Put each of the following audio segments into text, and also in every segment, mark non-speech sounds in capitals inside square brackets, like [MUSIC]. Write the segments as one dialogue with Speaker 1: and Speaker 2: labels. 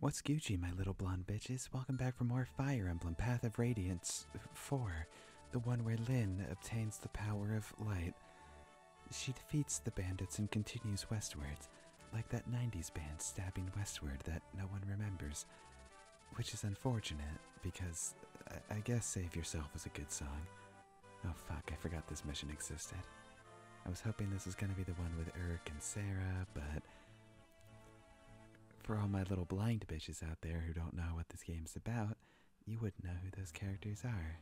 Speaker 1: What's Gucci, my little blonde bitches? Welcome back for more Fire Emblem Path of Radiance 4, the one where Lynn obtains the power of light. She defeats the bandits and continues westwards, like that 90s band stabbing westward that no one remembers. Which is unfortunate, because I, uh, I guess Save Yourself was a good song. Oh fuck, I forgot this mission existed. I was hoping this was going to be the one with Eric and Sarah, but for all my little blind bitches out there who don't know what this game's about, you wouldn't know who those characters are.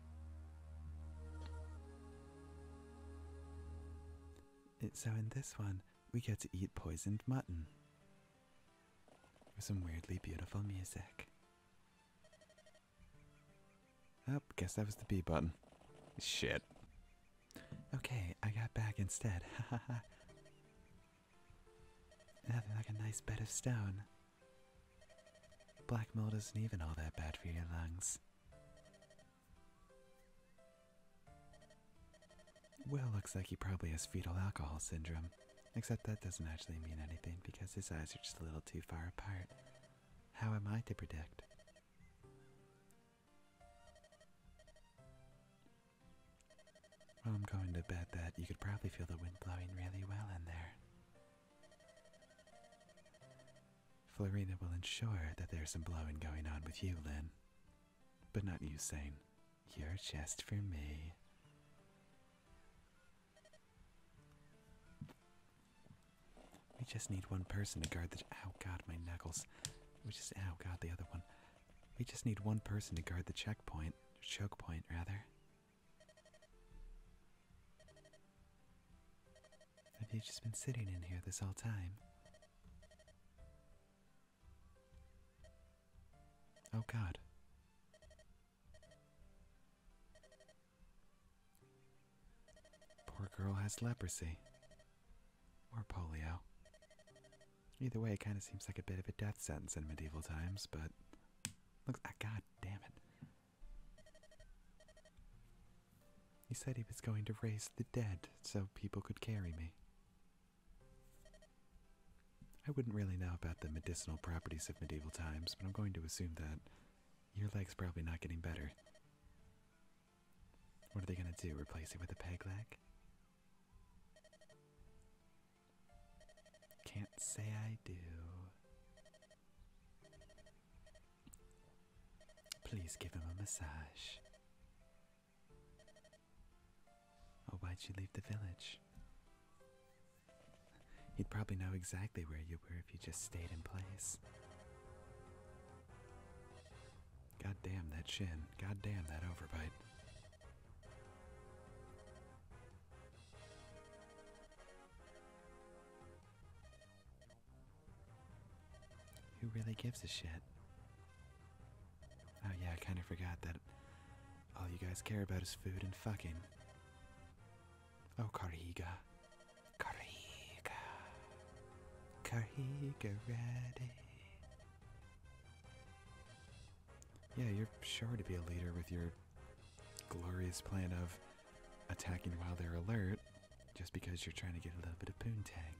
Speaker 1: So in this one, we get to eat poisoned mutton. With some weirdly beautiful music. Oh, guess that was the B button. Shit. Okay, I got back instead. [LAUGHS] Nothing like a nice bed of stone. Black mold isn't even all that bad for your lungs. Will looks like he probably has fetal alcohol syndrome, except that doesn't actually mean anything because his eyes are just a little too far apart. How am I to predict? I'm going to bet that you could probably feel the wind blowing really well in there. Florina will ensure that there's some blowing going on with you, Lynn. But not you saying, you're just for me. We just need one person to guard the. Oh god, my knuckles. We just. Oh god, the other one. We just need one person to guard the checkpoint. choke point, rather. Have you just been sitting in here this whole time? Oh god. Poor girl has leprosy. Or polio. Either way, it kind of seems like a bit of a death sentence in medieval times, but. Looks. Ah, God damn it. He said he was going to raise the dead so people could carry me. I wouldn't really know about the medicinal properties of medieval times, but I'm going to assume that your leg's probably not getting better. What are they gonna do? Replace it with a peg leg? Can't say I do. Please give him a massage. Oh, why'd you leave the village? He'd probably know exactly where you were if you just stayed in place. God damn that shin. God damn that overbite. Who really gives a shit? Oh yeah, I kind of forgot that all you guys care about is food and fucking. Oh, Karihiga.
Speaker 2: Kariga.
Speaker 1: Kariga ready. Yeah, you're sure to be a leader with your glorious plan of attacking while they're alert just because you're trying to get a little bit of poontang.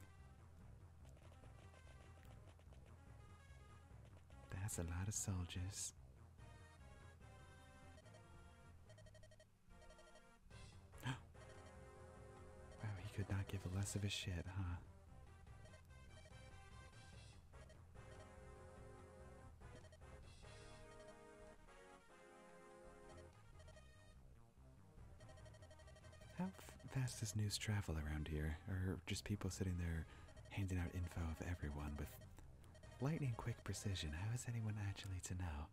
Speaker 1: That's a lot of soldiers. [GASPS] wow, he could not give less of a shit, huh? How fast does news travel around here? Or just people sitting there handing out info of everyone with lightning quick precision? How is anyone actually to know?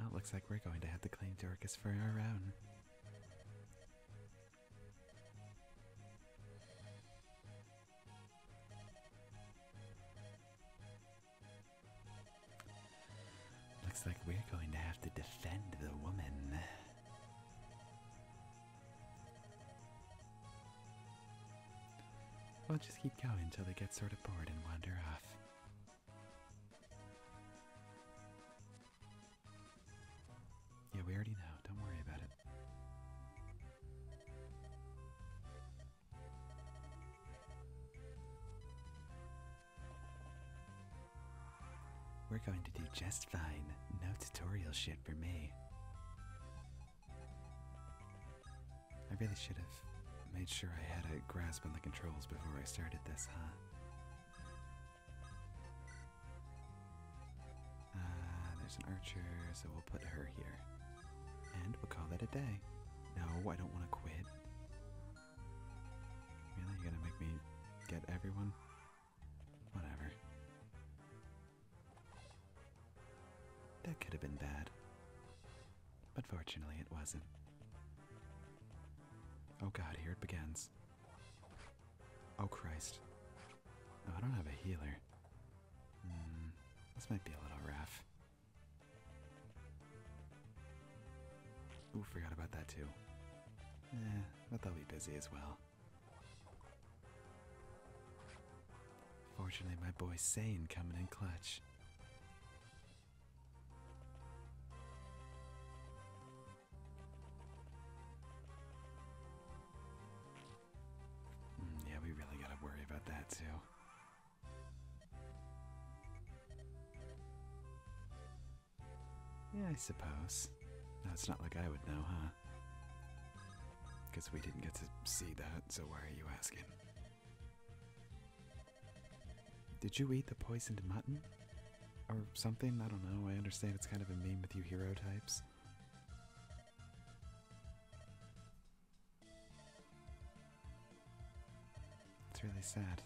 Speaker 1: Oh, it looks like we're going to have to claim Dorcas for our own. Looks like we're going to have to defend the woman. We'll just keep going until they get sort of bored and wander off. Yeah, we already know. Don't worry about it. We're going to do just fine. No tutorial shit for me. I really should have made sure I had a grasp on the controls before I started this, huh? Ah, there's an archer, so we'll put her here. And we'll call that a day. No, I don't want to quit. Really? You're gonna make me get everyone? Whatever. That could have been bad. But fortunately, it wasn't. Oh god, here it begins. Oh Christ. Oh, I don't have a healer. Mm, this might be a little rough. Ooh, forgot about that too. Eh, but they'll be busy as well. Fortunately, my boy Sane coming in clutch. Hmm, yeah, we really gotta worry about that too. Yeah, I suppose. No, it's not like I would know, huh? huh? Because we didn't get to see that, so why are you asking? Did you eat the poisoned mutton? Or something? I don't know. I understand it's kind of a meme with you hero types. It's really sad.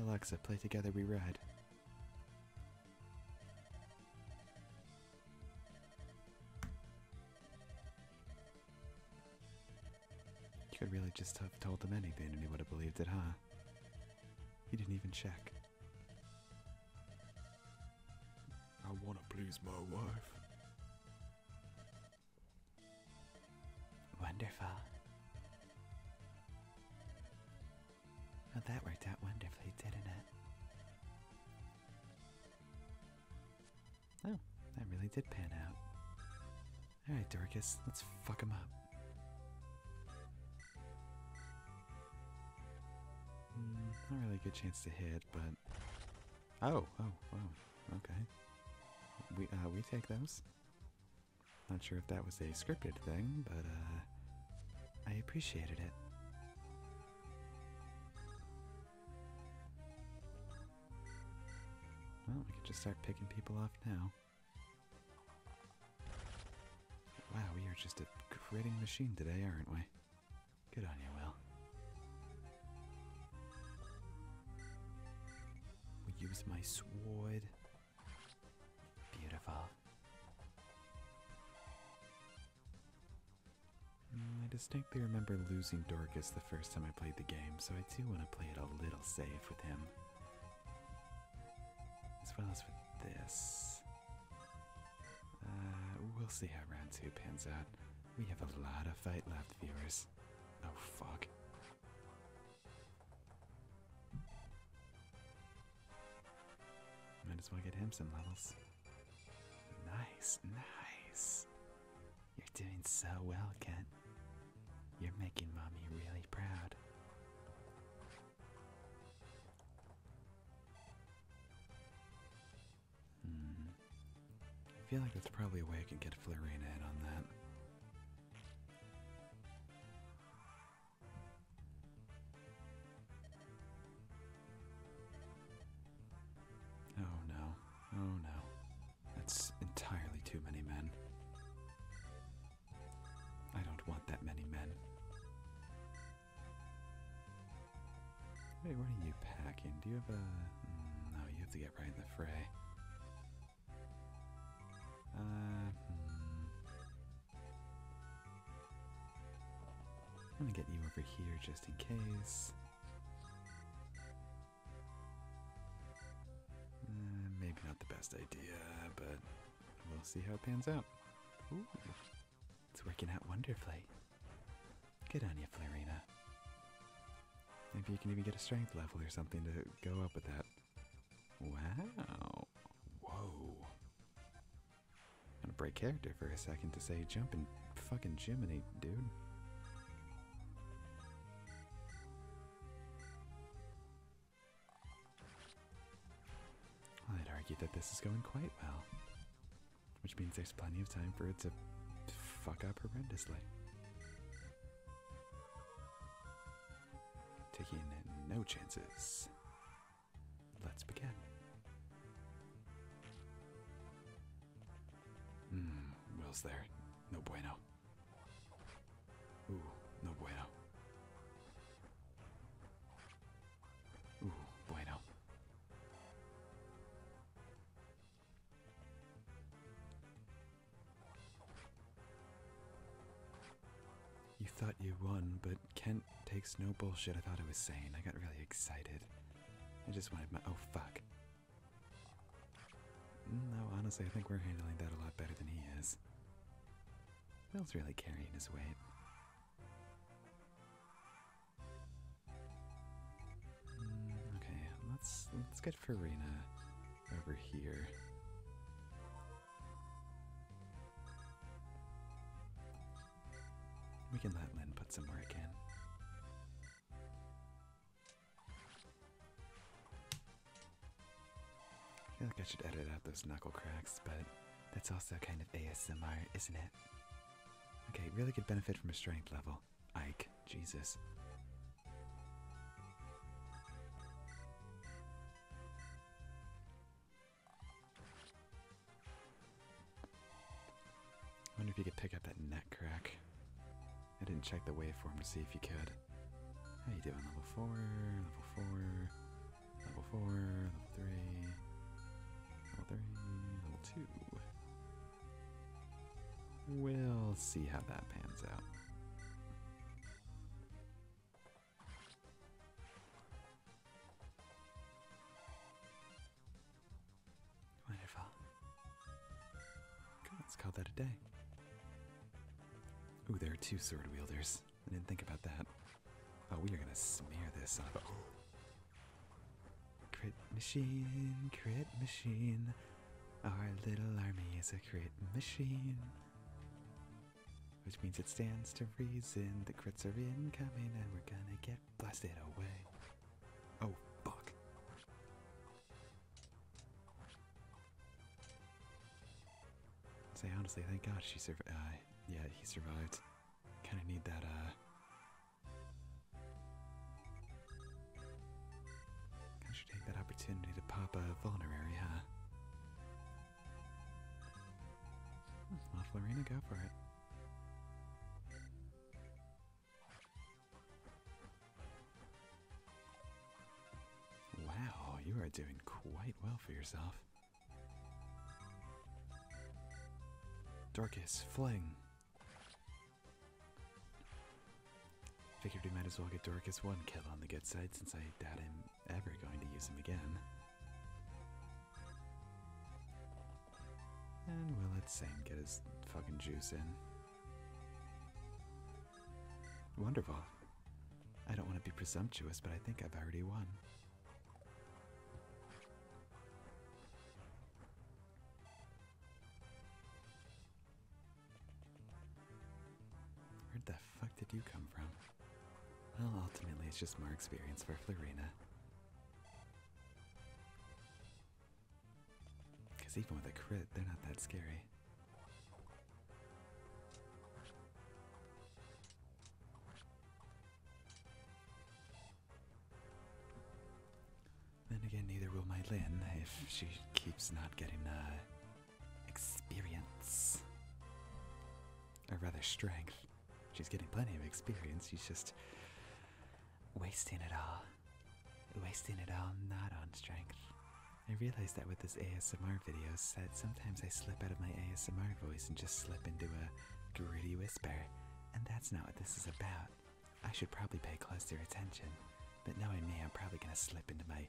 Speaker 1: Alexa, play Together We Ride. You could really just have told them anything and he would have believed it, huh? He didn't even check. I want to please my wife. Wonderful. Well, that worked out wonderfully, didn't it? Oh, that really did pan out. Alright, Dorcas, let's fuck him up. Hmm, not really a good chance to hit, but... Oh, oh, oh, okay. We, uh, we take those. Not sure if that was a scripted thing, but, uh, I appreciated it. Well, we could just start picking people off now. Wow, we are just a critting machine today, aren't we? Good on you, Will. We use my sword. Beautiful. Mm, I distinctly remember losing Dorcas the first time I played the game, so I do want to play it a little safe with him. As well as with this. Uh, we'll see how round two pans out. We have a lot of fight left, viewers. Oh, fuck. Might as well get him some levels. Nice, nice. You're doing so well, Ken. You're making mommy really proud. Hmm. I feel like that's probably a way I can get Florina in on that. Oh no. Oh no. That's entirely too many men. I don't want that many men. Hey, what are you packing? Do you have a. Hmm, no, you have to get right in the fray. Uh. Hmm. I'm gonna get you over here just in case. Eh, maybe not the best idea, but we'll see how it pans out. it's working out wonderfully. Good on you, Florina. Maybe you can even get a strength level or something to go up with that. Wow. Whoa. i gonna break character for a second to say "Jumping, fucking Jiminy, dude. I'd argue that this is going quite well, which means there's plenty of time for it to fuck up horrendously. Taking no chances. Let's begin. Hmm, Will's there. No bueno. Ooh, no bueno. Ooh, bueno. You thought you won, but Kent takes no bullshit I thought I was sane. I got really excited. I just wanted my- oh fuck. Though mm, honestly, I think we're handling that a lot better than he is. Bill's really carrying his weight. Mm, okay, let's let's get Farina over here. We can let Lynn put some work in. I feel like I should edit out those knuckle cracks, but that's also kind of ASMR, isn't it? Okay, really could benefit from a strength level. Ike, Jesus. I wonder if you could pick up that neck crack. I didn't check the waveform to see if you could. How you doing? Level four, level four, level four, level three, level three, level two. We'll see how that pans out. Wonderful. let's call that a day. Ooh, there are two sword wielders. I didn't think about that. Oh, we are gonna smear this on. Oh. Crit machine, crit machine. Our little army is a crit machine. Which means it stands to reason the crits are in coming, and we're gonna get blasted away. Oh, fuck. Say honestly, thank God she survived. Uh, yeah, he survived. Kind of need that, uh... I should take that opportunity to pop a vulnerary, huh? let Lorena, go for it. Wow, you are doing quite well for yourself. Dorcas, fling! Figured we might as well get Dorcas one kill on the good side since I doubt I'm ever going to use him again. And we'll let Sam get his fucking juice in. Wonderful. I don't want to be presumptuous, but I think I've already won. Where the fuck did you come from? Well, ultimately, it's just more experience for Florina. Because even with a crit, they're not that scary. Then again, neither will my Lynn if she keeps not getting experience. Or rather, strength. She's getting plenty of experience, she's just wasting it all wasting it all not on strength. I realized that with this ASMR video said sometimes I slip out of my ASMR voice and just slip into a gritty whisper, and that's not what this is about. I should probably pay closer attention, but knowing me, I'm probably gonna slip into my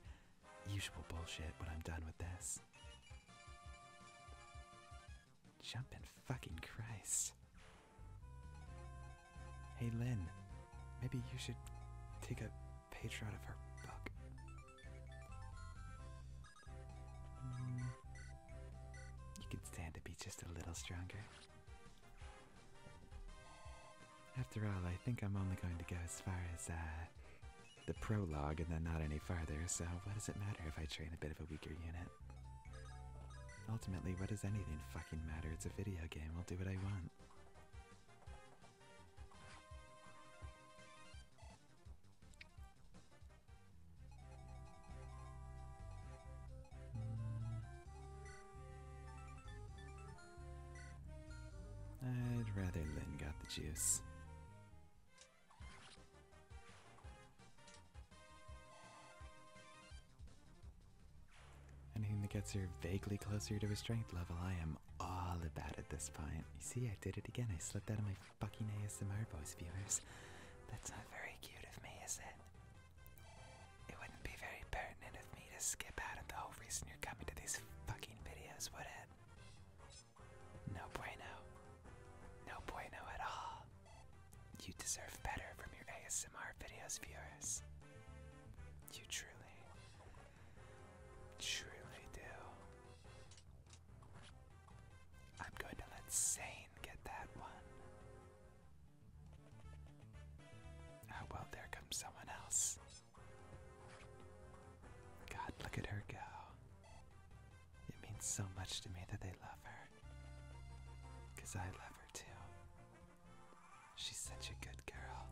Speaker 1: usual bullshit when I'm done with this. Jumpin' fucking Christ. Hey Lynn, maybe you should take a page out of her book. Mm. you can stand to be just a little stronger. After all, I think I'm only going to go as far as uh, the prologue and then not any farther, so what does it matter if I train a bit of a weaker unit? Ultimately, what does anything fucking matter? It's a video game, I'll do what I want. I'd rather Lynn got the juice. Anything that gets her vaguely closer to a strength level, I am all about at this point. You see, I did it again. I slipped out of my fucking ASMR viewers.
Speaker 2: That's not very cute of me, is it? It wouldn't be very pertinent of me to skip out of the whole reason you're coming to these fucking videos, would it? No bueno. No bueno at all. You deserve better from your ASMR videos, viewers. You truly, truly do. I'm going to let Sane get that one. Oh, well, there comes someone else. God, look at her go. It means so much to me that they love her. Because I love her too. She's such a good girl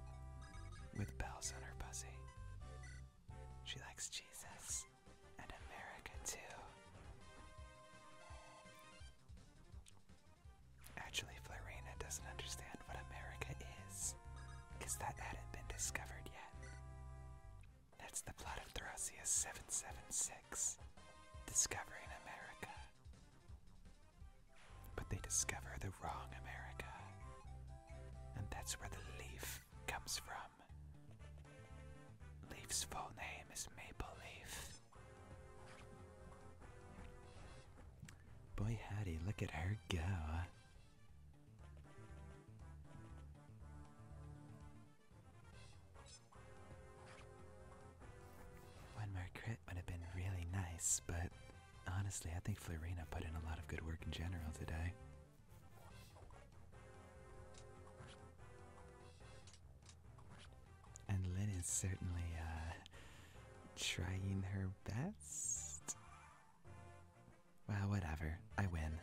Speaker 2: with bells on her buzzy. She likes Jesus and America too. Actually, Florina doesn't understand what America is, because that hadn't been discovered yet. That's the plot of Thrasius 776, Discovering America. But they discover the wrong America. And that's where the leaf comes from. Leaf's full name is Maple Leaf.
Speaker 1: Boy, Hattie, look at her go. One more crit would have been really nice, but Honestly, I think Florina put in a lot of good work in general today. And Lynn is certainly uh, trying her best. Well, whatever. I win.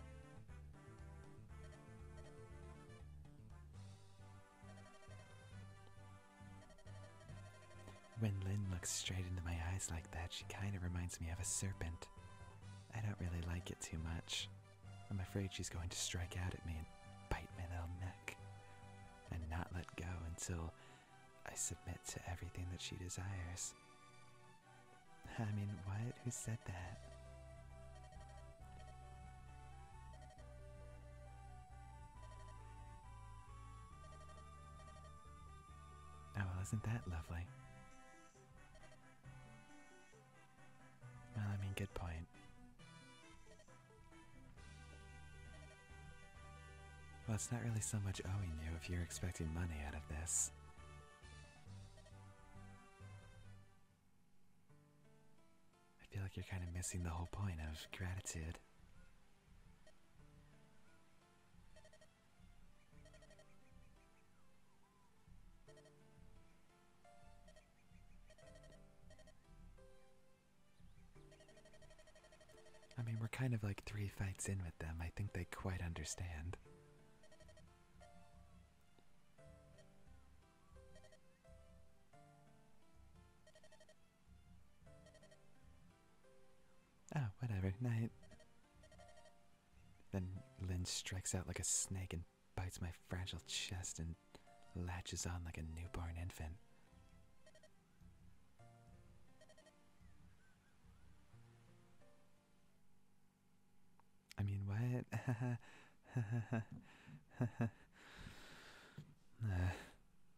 Speaker 1: When Lynn looks straight into my eyes like that, she kind of reminds me of a serpent. I don't really like it too much. I'm afraid she's going to strike out at me and bite my little neck and not let go until I submit to everything that she desires. I mean, what? Who said that? Oh, well, isn't that lovely? Well, I mean, good point. Well, it's not really so much owing you if you're expecting money out of this. I feel like you're kind of missing the whole point of gratitude. I mean, we're kind of like three fights in with them. I think they quite understand. Oh, whatever. Night. Then Lynn strikes out like a snake and bites my fragile chest and latches on like a newborn infant. I mean, what? [LAUGHS]